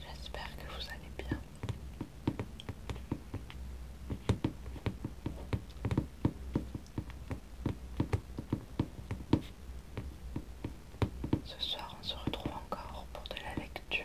J'espère que vous allez bien. Ce soir, on se retrouve encore pour de la lecture.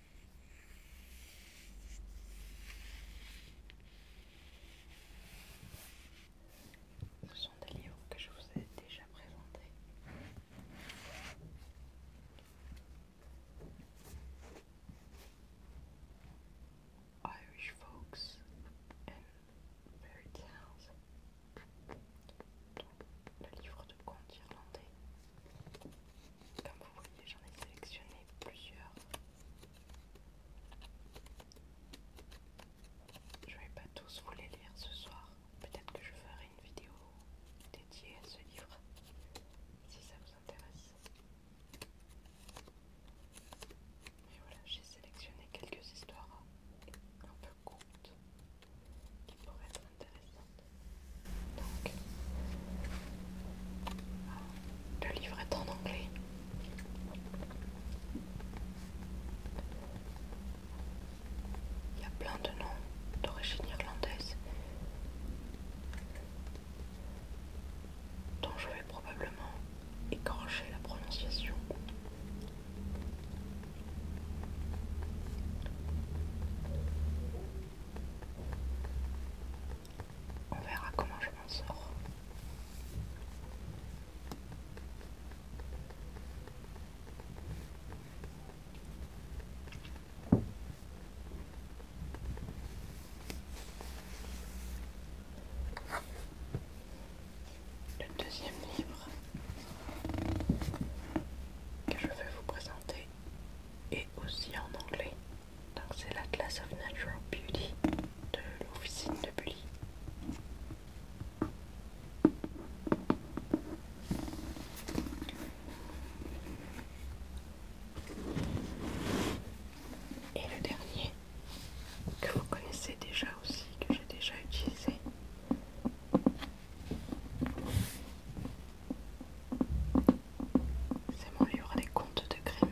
Ce sont des livres que je vous ai déjà présentés. Irish folks and fairy tales. Le livre de contes irlandais. Comme vous voyez, j'en ai sélectionné plusieurs. Je vais pas tous vous les lire ce soir. Peut-être que je ferai une vidéo dédiée à ce livre si ça vous intéresse. Et voilà, j'ai sélectionné quelques histoires un peu courtes qui pourraient être le livre est en anglais. Il y a plein de noms d'origine irlandaise dont je vais probablement écorcher la prononciation. On verra comment je m'en sors. Le deuxième livre que je vais vous présenter et aussi en anglais. Donc c'est l'Atlas of Natural Beauty de l'officine de Bully. Et le dernier que vous connaissez déjà aussi, que j'ai déjà utilisé, c'est mon livre des contes de crime.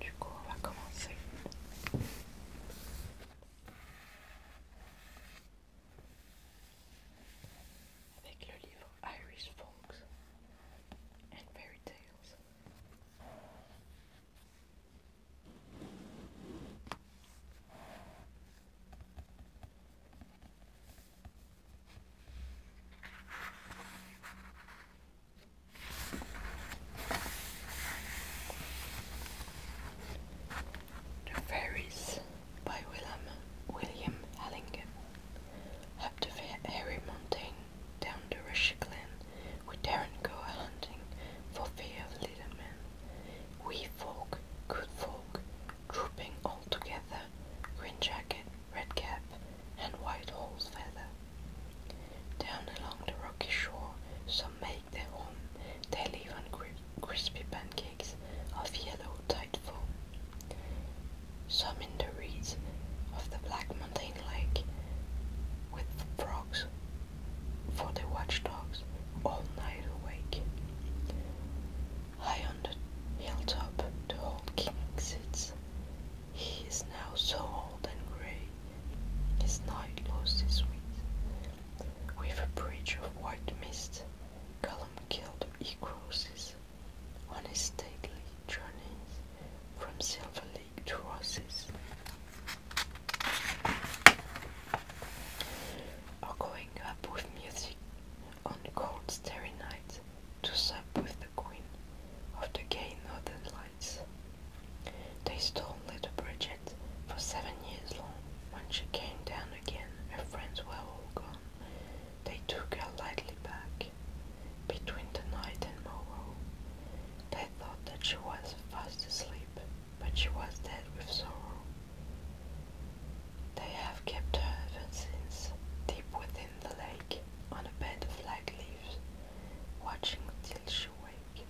Du coup, on va commencer. Avec le livre Irish Folks and Fairy Tales The Fairies by William William Hallingham up the fairy down the Rushy Glen. We daren't go a-hunting for fear of little men. We folk, good folk, trooping all together, green jacket, red cap, and white horse feather. Down along the rocky shore, some make their home, they live on crispy pancakes of yellow tight foam. Some in the reeds of the black mountain something like with frogs for the watchdogs all night awake. High on the hilltop, the old king sits. He is now so old and grey, his night lost his wit. With a bridge of white mist, Gollum he crosses on his stately journeys from Silverleaf trusses or going up with music on cold starry nights to sup with the queen of the gay northern lights. They stole little Bridget for seven years long. When she came down again, her friends were all gone. They took her lightly back between the night and morrow thought that she was fast asleep, but she was dead with sorrow. They have kept her ever since, deep within the lake, on a bed of flag leaves, watching till she wake.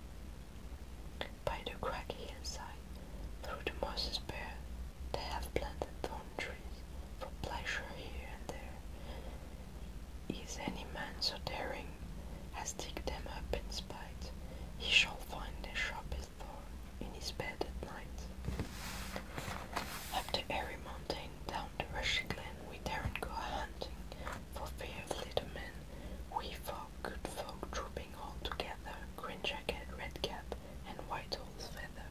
By the craggy hillside, through the mosses bare, they have planted thorn trees for pleasure here and there. Is any man so daring as dig them up in spite? He shall find the sharpest thorn in his bed at night. Up the airy mountain, down the rushy glen, we daren't go hunting for fear of little men. We folk, good folk, trooping all together, green jacket, red cap, and white horse feather.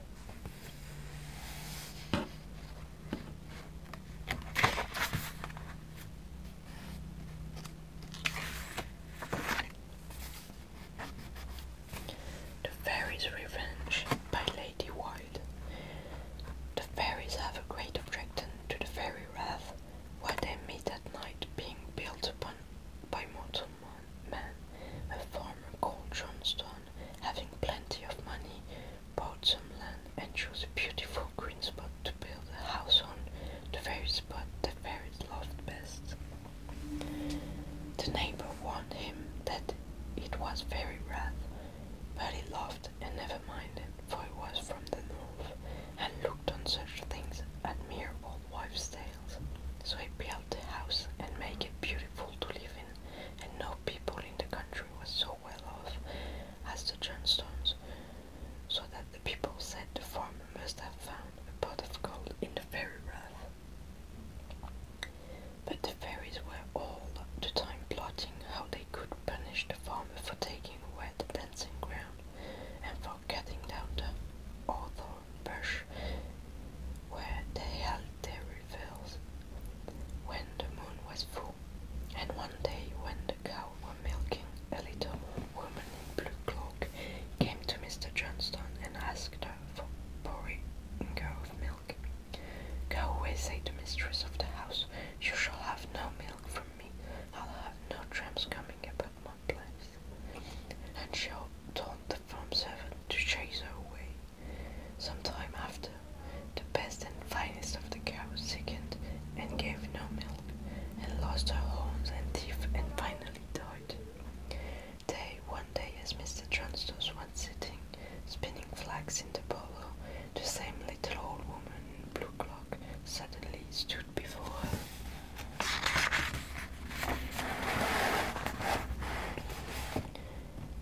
The Fairies' Revenge by Lady Wilde. The fairies have a great attraction to the fairy wrath, where they meet at night, being built upon by mortal man, a farmer called Johnstone, having plenty of money, bought some land and chose a beautiful green spot to build a house on, the very spot that fairies loved best. The neighbor warned him that it was very rough, but he laughed and never minded, for he was from the north and looked on such things as mere old wives' tales. So he built the house and made it beautiful to live in, and no people in the country was so well off as the Johnstones, so that the people said the farmer must have found a pot of gold in the fairy rath. But the fairies were all the time plotting how they could punish the farmer for taking away the dancing ground and for cutting down the hawthorn bush where they held their revels when the moon was full. And one day, when the cow one milking, a little woman in blue cloak came to Mr. Johnstone and asked her for a porringer of milk. Go away, said the mistress of the house. You shall have no milk from me. I'll have no tramps coming about my place. And she told the farm servant to chase her away. Some time after, the best and finest of the cows, sickened and gave no milk, and lost her horns and teeth, and finally died. Day one day, as Mr. Transtose was sitting, spinning flax in the bolo, the same little old woman in blue cloak suddenly stood before her.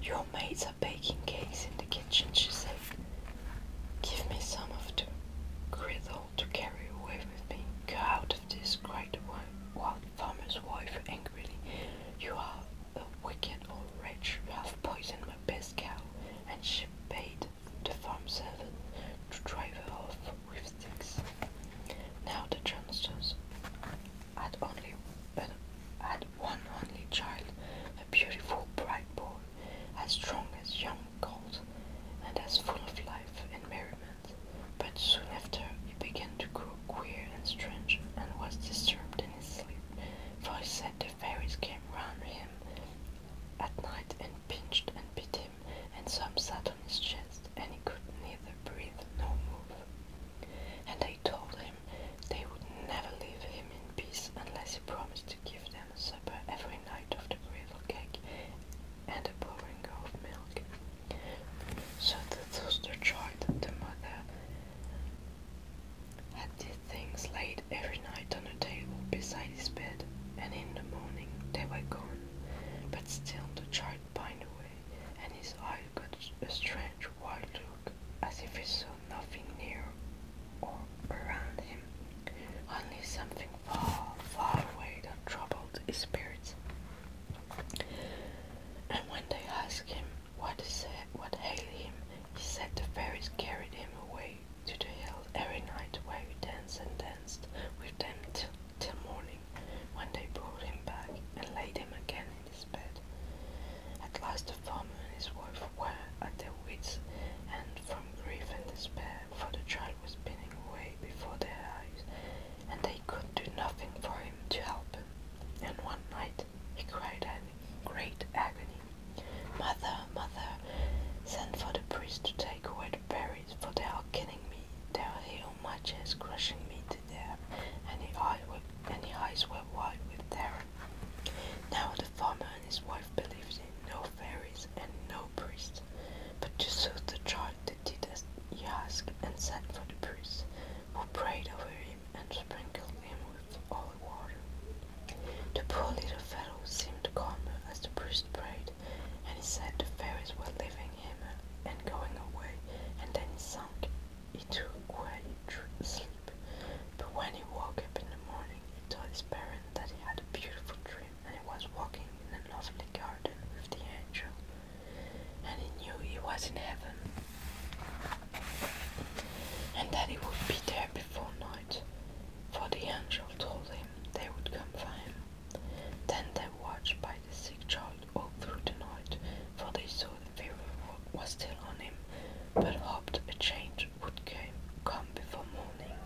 Your maids are baking cakes in the kitchen, she said. Give me some of the griddle to carry away with me. Go out of this, cried the farmer's wife angrily. You are a wicked old wretch. You have poisoned my best cow. And she paid the farm servant to drive her off with sticks. Now the Johnstons had only had one only child, a beautiful bright boy as strong as young colt, and as full of life and merriment. But soon after, he began to grow queer and strange, and was disturbed in his sleep, for he said the fairies came round him at night and pinched and bit him, and some sat on his chest, and he could neither breathe nor move. And they told him they would never leave him in peace unless he promised to give them supper every night of the griddle cake and a pouring of milk. So the child, tried the mother had these things laid every night on the table beside his bed, and in the morning they were gone. But still the child pined away, and his eye got a strange wild look, as if he saw nothing near or around him, only something far, far away that troubled his spirits. And when they asked him what is said, what ailed him, he said the fairies carried him away to the hill every night where he danced and danced with them till, till morning, when they brought him back and laid him again in his bed. At last the farmer and his wife were at their wits and from grief and despair, for the child was spinning away before their eyes, and they could do nothing for him to help him. And one night he cried in great agony, Mother, mother, send for the priest to take away the berries, for they are killing me. They are here my chest, crushing me to death. And the eyes were, and the eyes were wide with terror. Now the farmer and his wife believed in no fairies and no priests, but to soothe the child they did as he asked and sent for the priest, who prayed over him and sprinkled him with holy water. The poor little fellow seemed calmer as the priest prayed, and he said the fairies were leaving him and going away, and then he sunk into a quiet sleep. But when he woke up in the morning, he told his parents that he had a beautiful dream and he was walking in a lovely garden with the angel, and he knew he was in heaven and that he would be there before night, for the angel told him they would come for him. Then they watched by the sick child all through the night, for they saw the fever was still on him, but hoped a change would come before morning,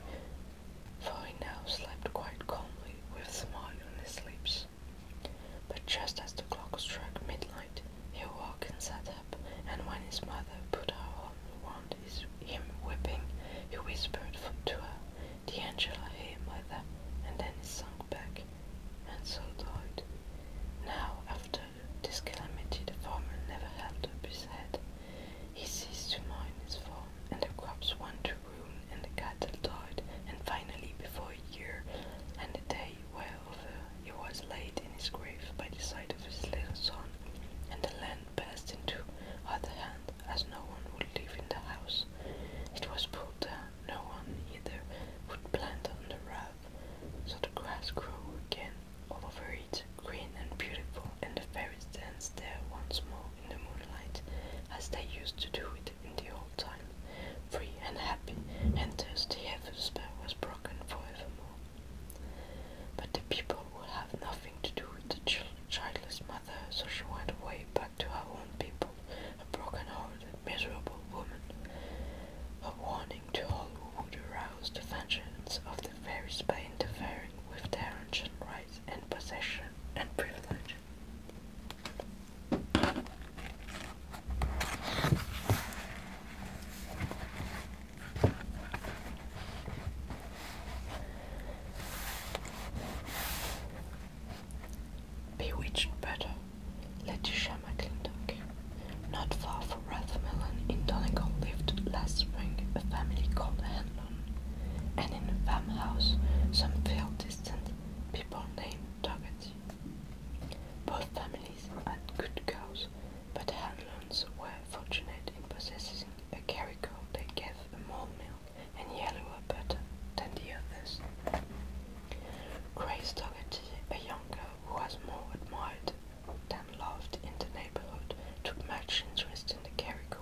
for he now slept quite calmly with a smile on his lips. But just as the clock struck midnight, he awoke and sat up, and when his mother put her arm round his, him weeping, he whispered to her, The angel I hear, mother, and then he sunk back, and so died. Now, after this calamity, the farmer never had to be head, he ceased to mind his farm, and the crops went to ruin, and the cattle died, and finally, before a year and a day were over, he was laid in his grave by the side of his little son, and the land passed into other hands, as no one would live in the house. It was pulled down, no one either would plant on the road, so the grass grew again, all over it, green and beautiful, and the fairies danced there once more in the moonlight, as they used to do it in the old time, free and happy, and thus the heavy spell was broken forevermore. But the people would have nothing to do with the childless mother, so she went away back to her own people, a broken-hearted, miserable woman. A warning to all who would arouse the vengeance of the fairies by interfering with their ancient rights and possession and privilege. Bewitched butter, Letitia McClintock. Not far from in Donegal lived last spring a family called Hanlon, and in a farmhouse some far distant people named Dougherty. Both families had good cows, but Hanlon's were fortunate in possessing a carry cow that gave more milk and yellower butter than the others. Grace Dougherty, a young girl who was more admired loved in the neighbourhood took much interest in the Carrico,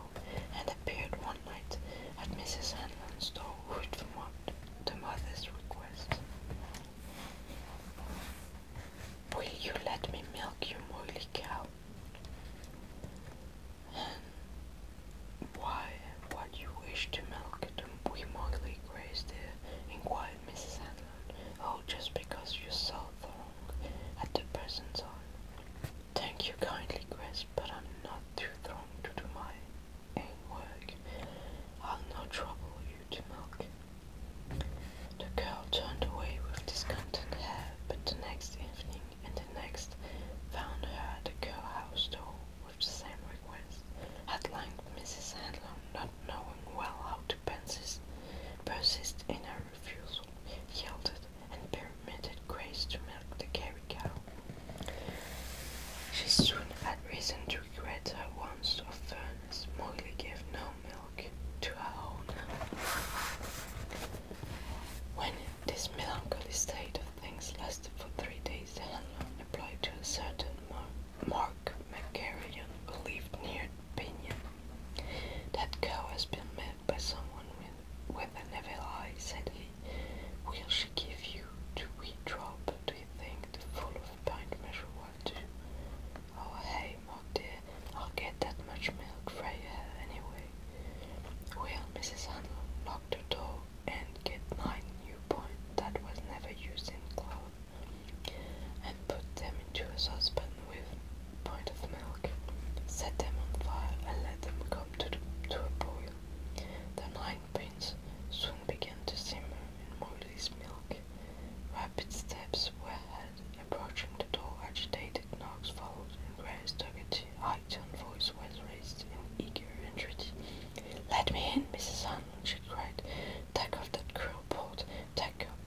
and appeared one night at Mrs. Hanlon's door with the mother's request. Will you let me milk your moily cow? And why would you wish to milk We wee moily grace, dear? inquired Mrs. Hanlon. Oh, just because you saw the at the present time. Thank you kindly, Grace, but I'm not too strong to do my own work. I'll not trouble you to milk. The girl turned away with discontent hair, but the next evening and the next found her at the girl house door with the same request. At length, Mrs. Handlon, not knowing well how to persist, persist in her refusal, yielded, and permitted Grace to milk the Gary cow. She soon had reason to regret her once of fairness. gave no milk to her owner. When this melancholy state of things lasted for three days, the handler applied to a certain Mark McGarrigan, who near opinion. That cow has been met by someone with, with an evil eye, said he. Will she give you to we drop? Do you think the full of a pint measure will do? Oh, hey, Maud dear, I'll get that much milk for you anyway. Well, Mrs. Handel locked the door and get nine new points that was never used in cloth and put them into a saucepan with pint of milk, set them on fire, and let them come to, the, to a boil. The nine pins soon began to simmer in Molly's milk. Rapid steps were heard approaching the door. Agitated knocks followed, and Grace took it. High tone voice was raised in eager entreaty. "Let me in, Mrs. Arnold!" she cried. "Take off that cruel port. Take off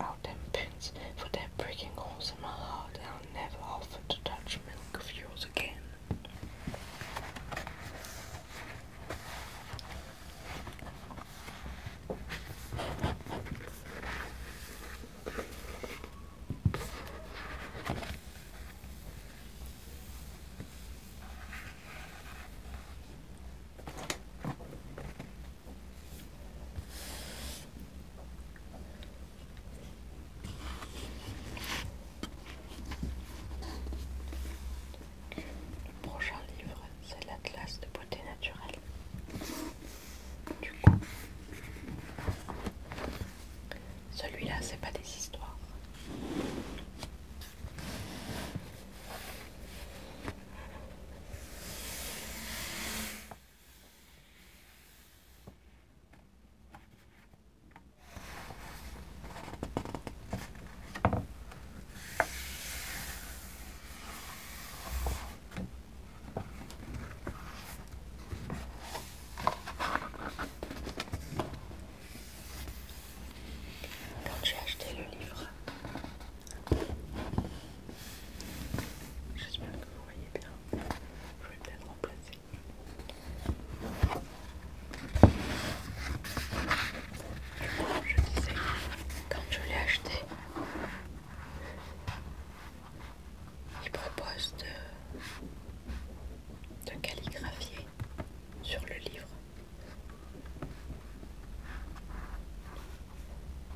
out oh, them pins for their breaking holes in my heart, I'll never offer to touch milk of yours again. Le prochain livre, c'est l'Atlas de beauté naturelle. Du coup, celui-là, c'est pas des histoires. Quand j'ai acheté le livre, J'espère que vous voyez bien. Je vais peut-être remplacer. Je disais, quand je l'ai acheté, il propose de, de calligraphier sur le livre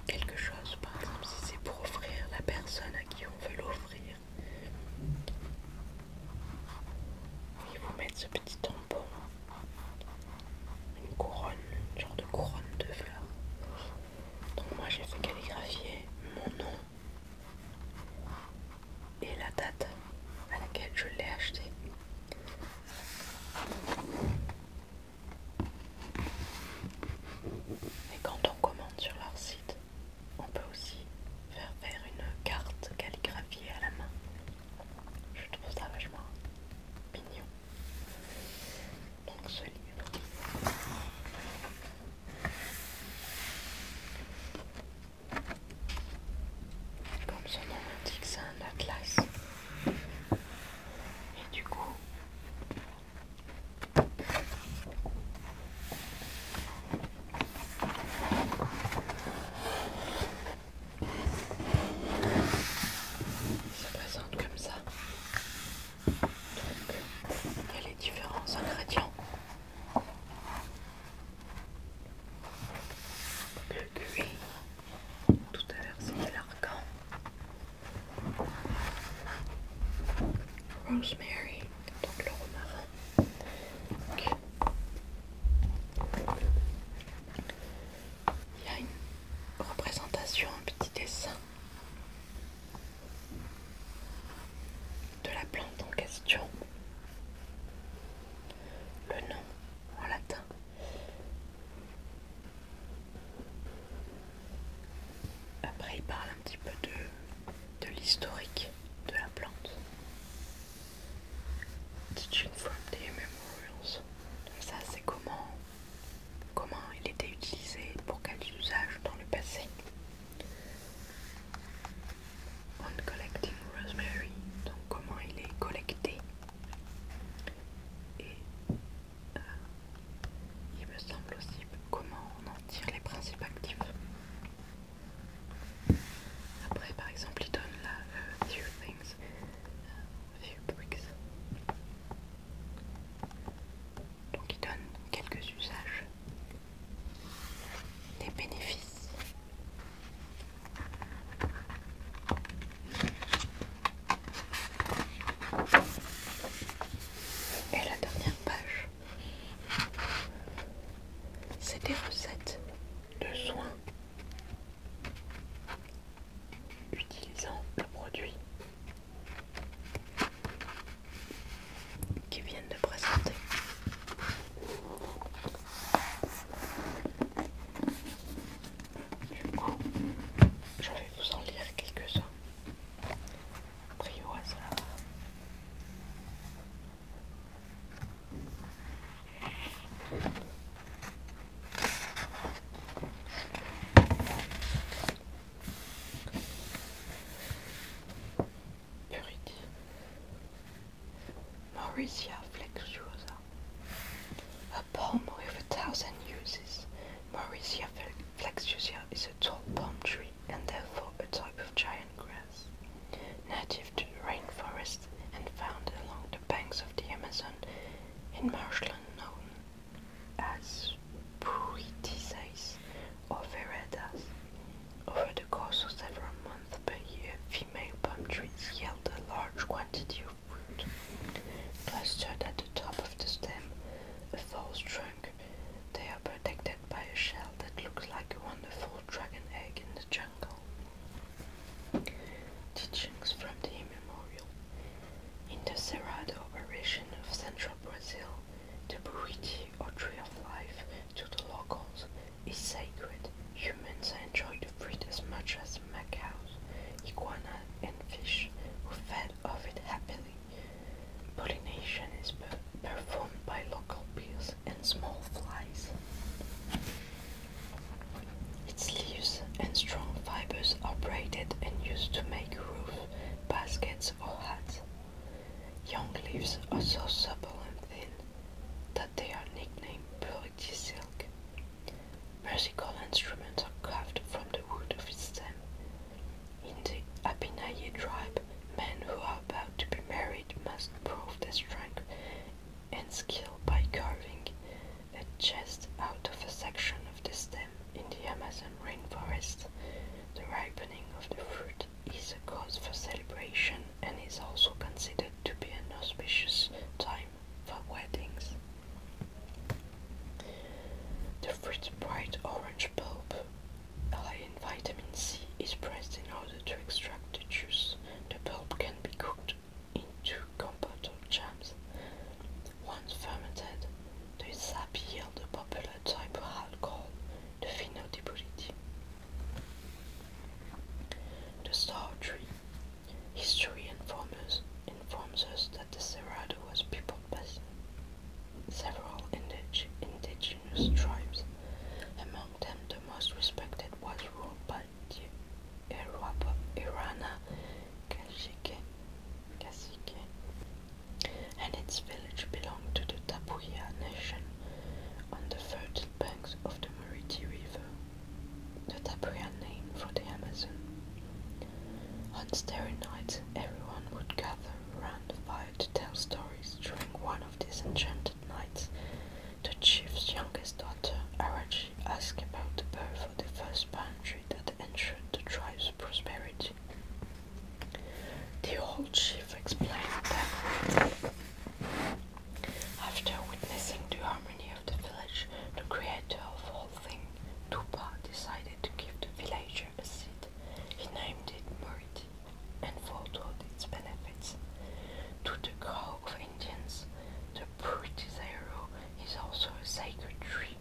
quelque chose, par exemple si c'est pour offrir la personne à qui on veut l'offrir. Ils vous mettre ce petit tampon, une couronne, une genre de couronne de fleurs. Donc moi j'ai fait calligraphier mon nom et la date à laquelle je l'ai acheté. Et quand on commande sur leur site, on peut aussi faire faire une carte calligraphiée à la main. Je trouve ça vachement mignon. Donc ce livre. Comme son nom l'indique, c'est un atlas. Et du coup, ça présente comme ça. il y a les différents ingrédients. Le cuir tout à l'heure c'était l'argent rosemary, le romarin. il y a une représentation, un petit dessin de la plante en question, le nom en latin après, il parle un petit peu de, de l'historique de la plante. Teaching from the Memorials. ça, c'est comment, comment il était utilisé, pour quel usage dans le passé. On collecting rosemary, donc comment il est collecté et euh, il me semble aussi comment on en tire les principes actifs. Après, par exemple, il donne la euh, Few Things, euh, Few Bricks. Donc, il donne quelques usages, des bénéfices. Et la dernière page, c'est des recettes de soins utilisant le produit qui viennent de présenter. Du coup, je vais vous en lire quelques-uns. Brioise. Purity. flexuosa. A palm with a thousand uses, Mauricia flexuosa is a tall palm tree and therefore a type of giant grass, native to rainforests and found along the banks of the Amazon in marshland known as Bruitices or veredas. Over the course of several months per year, female palm trees yield a large quantity of fruit. Clustered at the top of the stem, a false trunk they are protected by a shell that looks like a wonderful dragon egg in the jungle. Teachings from the immemorial. In the Cerrado operation of central Brazil, the buriti or tree of life to the locals is sacred. Humans enjoy the fruit as much as macaws, iguana, and fish, who fed off it happily. Pollination is performed by local bees and small flies. Its leaves and strong fibers are braided and used to make roof, baskets, or hats. Young leaves are so supple and thin that they are nicknamed purity silk. Musical instruments are carved from the wood of its stem in the Apinaye tribe, men who are about to be married must prove their strength and skill by carving a chest out of a section of the stem in the Amazon rainforest. The ripening of the fruit is a cause for celebration and is also considered to be an auspicious time for weddings. Every bright orange bulb, high in vitamin C, is pressed in order to extract the juice. The pulp can be cooked into compote or jams. Once fermented, the sap yields a popular type of alcohol, the Fino de Buriti. The Star Tree. History informs us, informs us that the Cerrado was peopled by several indigenous tribes. Among them, the most respected was ruled by the Irapa, Irana Cacique, and its village belonged to the Tapuya nation on the fertile banks of the Mariti River, the Tapuya name for the Amazon. On starry nights, everyone would gather Rand vowed to tell stories during one of these enchanted nights. The chief's youngest daughter, Arachi, asked about the birth of the first palm tree that ensured the tribe's prosperity. The old chief explained that after witnessing the harmony of the village, the creator of all things, Tupa, decided to give the villager a seat he named it Murid and foretold its benefits. To the crowd of Indians, the Puritizaro is also a sacred tree,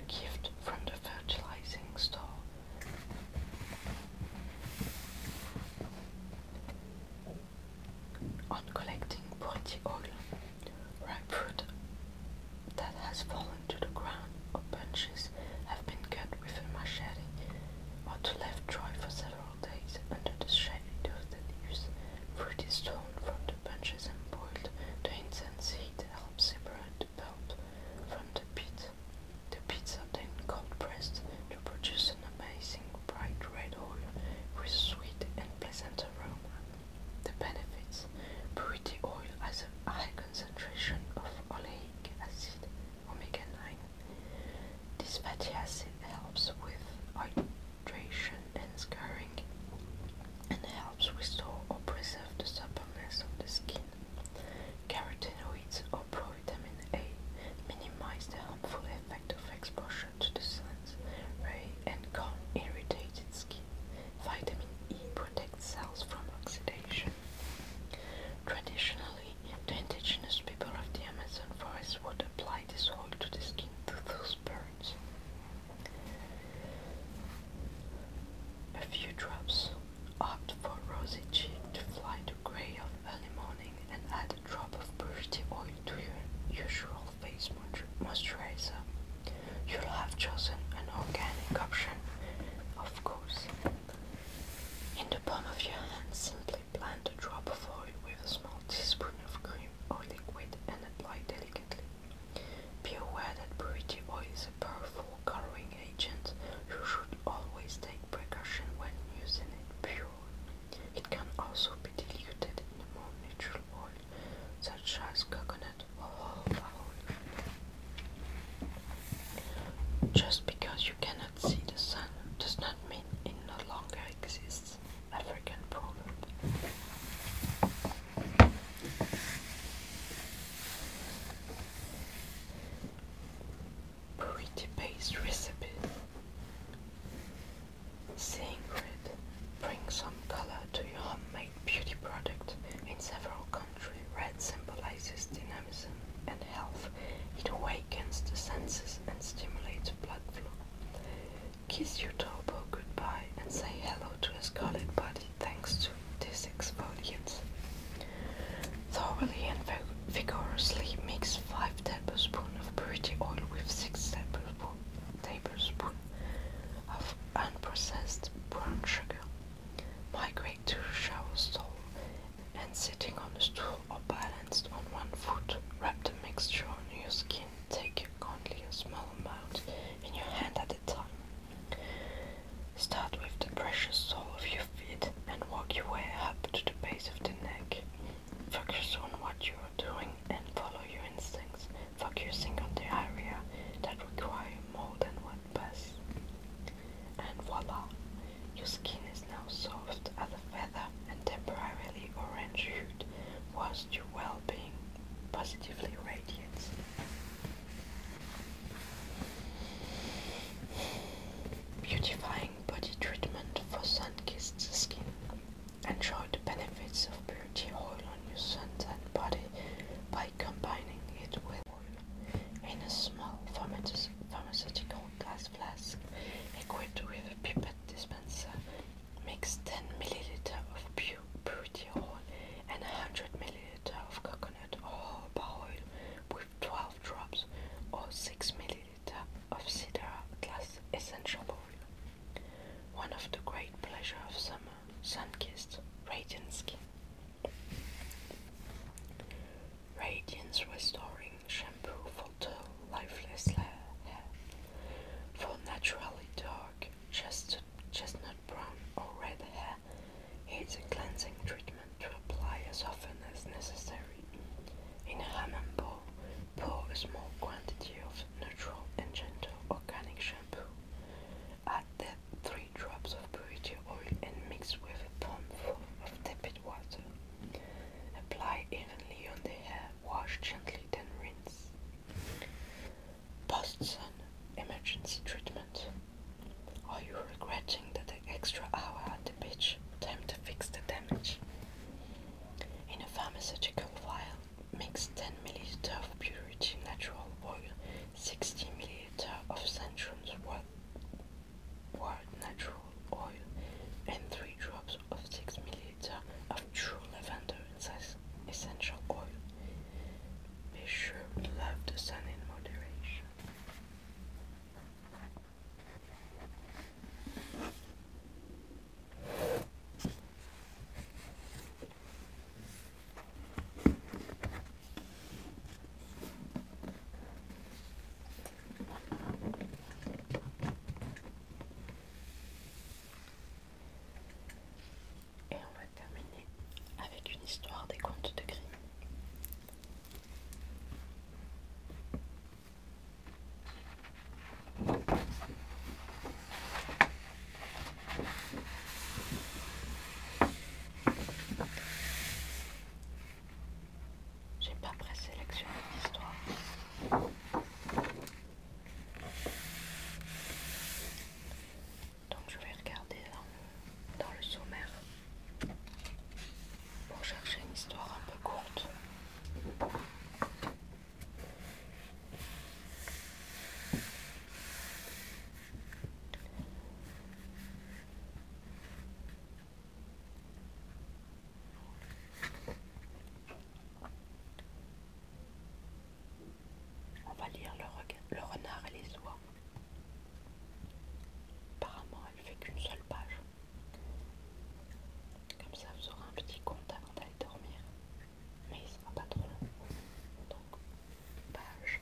a gift from the fertilizing star. On collecting Purity oil, ripe fruit that has fallen to the ground The bunches have been cut with a machete or to left dry for several days under the shade of the leaves. Fruit is torn from the bunches and boiled. The intense heat helps separate the pulp from the pit. The pits are then cold pressed to produce an amazing bright red oil with sweet and pleasant aroma. The benefits: Purity oil as a concentration of oleic acid omega-9. This fatty acid helps with hydration and scarring and helps restore or preserve the suppleness of the skin. Carotenoids or provitamin A minimize the harmful effect of exposure to the sun's ray and calm irritated skin. Vitamin E protects cells from oxidation. Traditionally, the indigenous people of the Amazon forest would apply this oil to the skin to those birds. A few drops. Opt for rosy cheek to fly to grey of early morning and add a drop of purity oil to your usual face moisturizer. You'll have chosen an organic option of course. In the palm of your hand, simply plant a drop of oil with a small teaspoon of cream or liquid and apply delicately. Be aware that purity oil is a powerful coloring agent. You should always take precaution when using it pure. It can also be diluted in a more neutral oil, such as coconut just because you cannot see the sun does not mean it no longer exists. African proverb. Pretty paste recipe. Seeing red some color to your homemade beauty product in several countries red symbolizes dynamism and health. It awakens the senses and stimulates blood flow. Kiss your topo goodbye and say hello to a scarlet body thanks to this exfoliant. Thoroughly and vigorously mix 5 tablespoons of purity oil with 6 tablespoons of unprocessed brown sugar migrate to shower stall, and sitting on a stool or balanced on one foot, wrap the mixture on your skin. Take only a small amount in your hand at a time. Start with the precious sole of your feet and walk your way up to the base of the neck. Focus on what you are doing and follow your instincts, focusing on the area that require more than one and voila! Your skin is now soft as a feather and temporarily orange hued, whilst your well being positively radiates. Beautifying body treatment for sun kissed skin. Enjoy the benefits of beauty oil on your suntan body by combining it with in a small pharmaceutical glass flask equipped with a pipette dispenser. Mix 10 ml of pure and 100 ml of coconut or oil with 12 drops or 6 ml of cedar glass essential oil. One of the great pleasures of summer, sun-kissed, radiant skin. Radiance Restoring Shampoo for Dull, Lifeless Hair. For naturally dark, chestnut, chestnut brown, or red hair, it's a cleansing treatment to apply as often as necessary. In a Hammond bowl, pour a small quantity of neutral and gentle organic shampoo. Add the three drops of purity oil and mix with a palmful of tepid water. Apply evenly on the hair, wash gently, then rinse. Post-sun emergency treatment. Are you regretting that extra hour at the beach? Time to fix the damage. In a pharmaceutical vial, mix 10 milliliters of purity natural oil, 60 ml litre of Centrum's Wild Natural Oil and 3 drops of 6 milliliter of True Lavender Essential Oil. Be sure to love the sun in moderation. Et on va terminer avec une histoire des contes de Grimm. J'ai pas pré-sélectionné l'histoire. Donc je vais regarder dans le sommaire pour chercher une histoire un peu courte. On va lire le, renard et les oies. Apparemment, elle fait qu'une seule page. Comme ça, vous aurez un petit compte avant d'aller dormir. Mais il sera pas trop long. Donc, page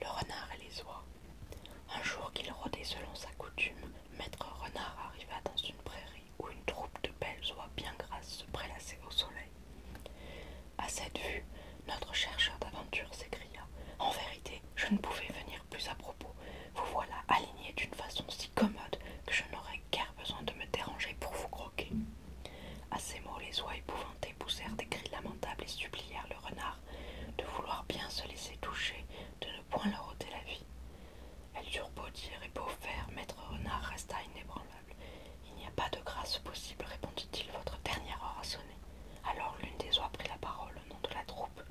le renard et les oies. Un jour qu'il rôdait selon sa coutume, maître renard arriva dans une prairie où une troupe de belles oies bien grasses se prélassait au soleil. À cette vue, notre chercheur d'aventure s'écria En vérité, je ne pouvais venir plus à propos, vous voilà alignés d'une façon si commode que je n'aurais guère besoin de me déranger pour vous croquer. À ces mots, les oies épouvantées poussèrent des cris lamentables et supplièrent le renard de vouloir bien se laisser toucher, de ne point leur ôter la vie. Elles durent beau dire et beau faire, maître renard resta inébranlable. Il n'y a pas de grâce possible, répondit-il, votre dernière heure a sonné. Alors l'une des oies prit la parole au nom de la troupe.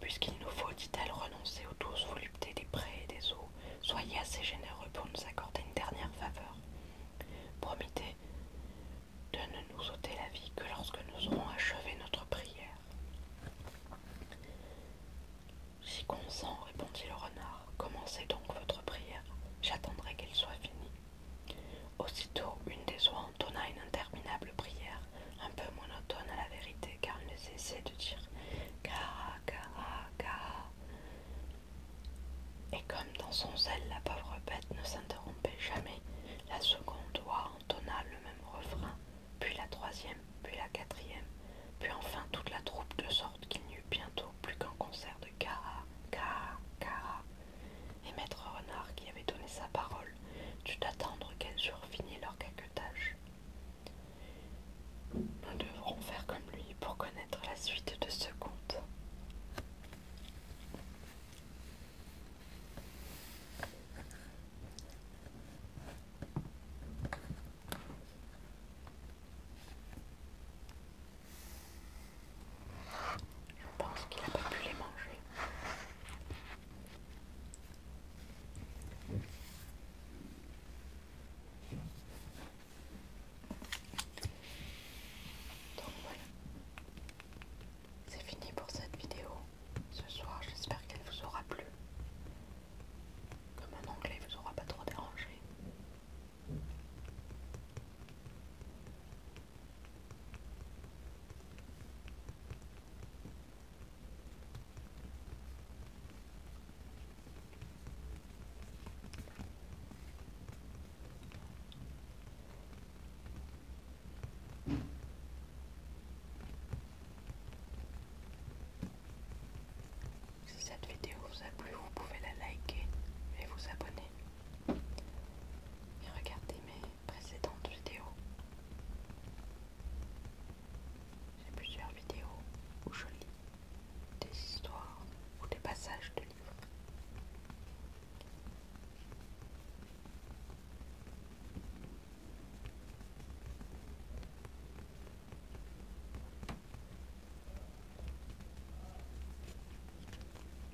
Puisqu'il nous faut, dit-elle, renoncer aux douces voluptés des prés et des eaux, soyez assez généreux pour nous accorder une dernière faveur. Promettez de ne nous ôter la vie que lorsque nous aurons achevé notre prière. J'y consens, répondit le renard. Commencez donc votre prière. J'attendrai qu'elle soit finie. Aussitôt, une des oies entonna une interminable prière, un peu monotone à la vérité, car il ne cessait de dire Cara, Cara, Cara. Et comme dans son zèle, la pauvre bête ne s'interrompait jamais, la seconde oie entonna le même refrain, puis la troisième, puis la quatrième, puis enfin toute la troupe, de sorte qu'il n'y eut bientôt plus qu'un concert de Cara, Cara, Cara. Et maître Renard, qui avait donné sa parole, dut attendre qu'elles eurent fini leur caquetage. Nous devrons faire comme lui pour connaître la suite de ce conte. Je pense qu'il n'a pas pu les manger c'est fini pour cette vidéo ce soir. J'espère qu'elle vous aura plu. Comme un anglais vous aura pas trop dérangé. Si cette vidéo vous a plu, vous pouvez la liker et vous abonner. Et regardez mes précédentes vidéos. J'ai plusieurs vidéos où je lis des histoires ou des passages de livres.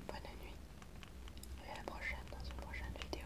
Bonne nuit et à la prochaine dans une prochaine vidéo.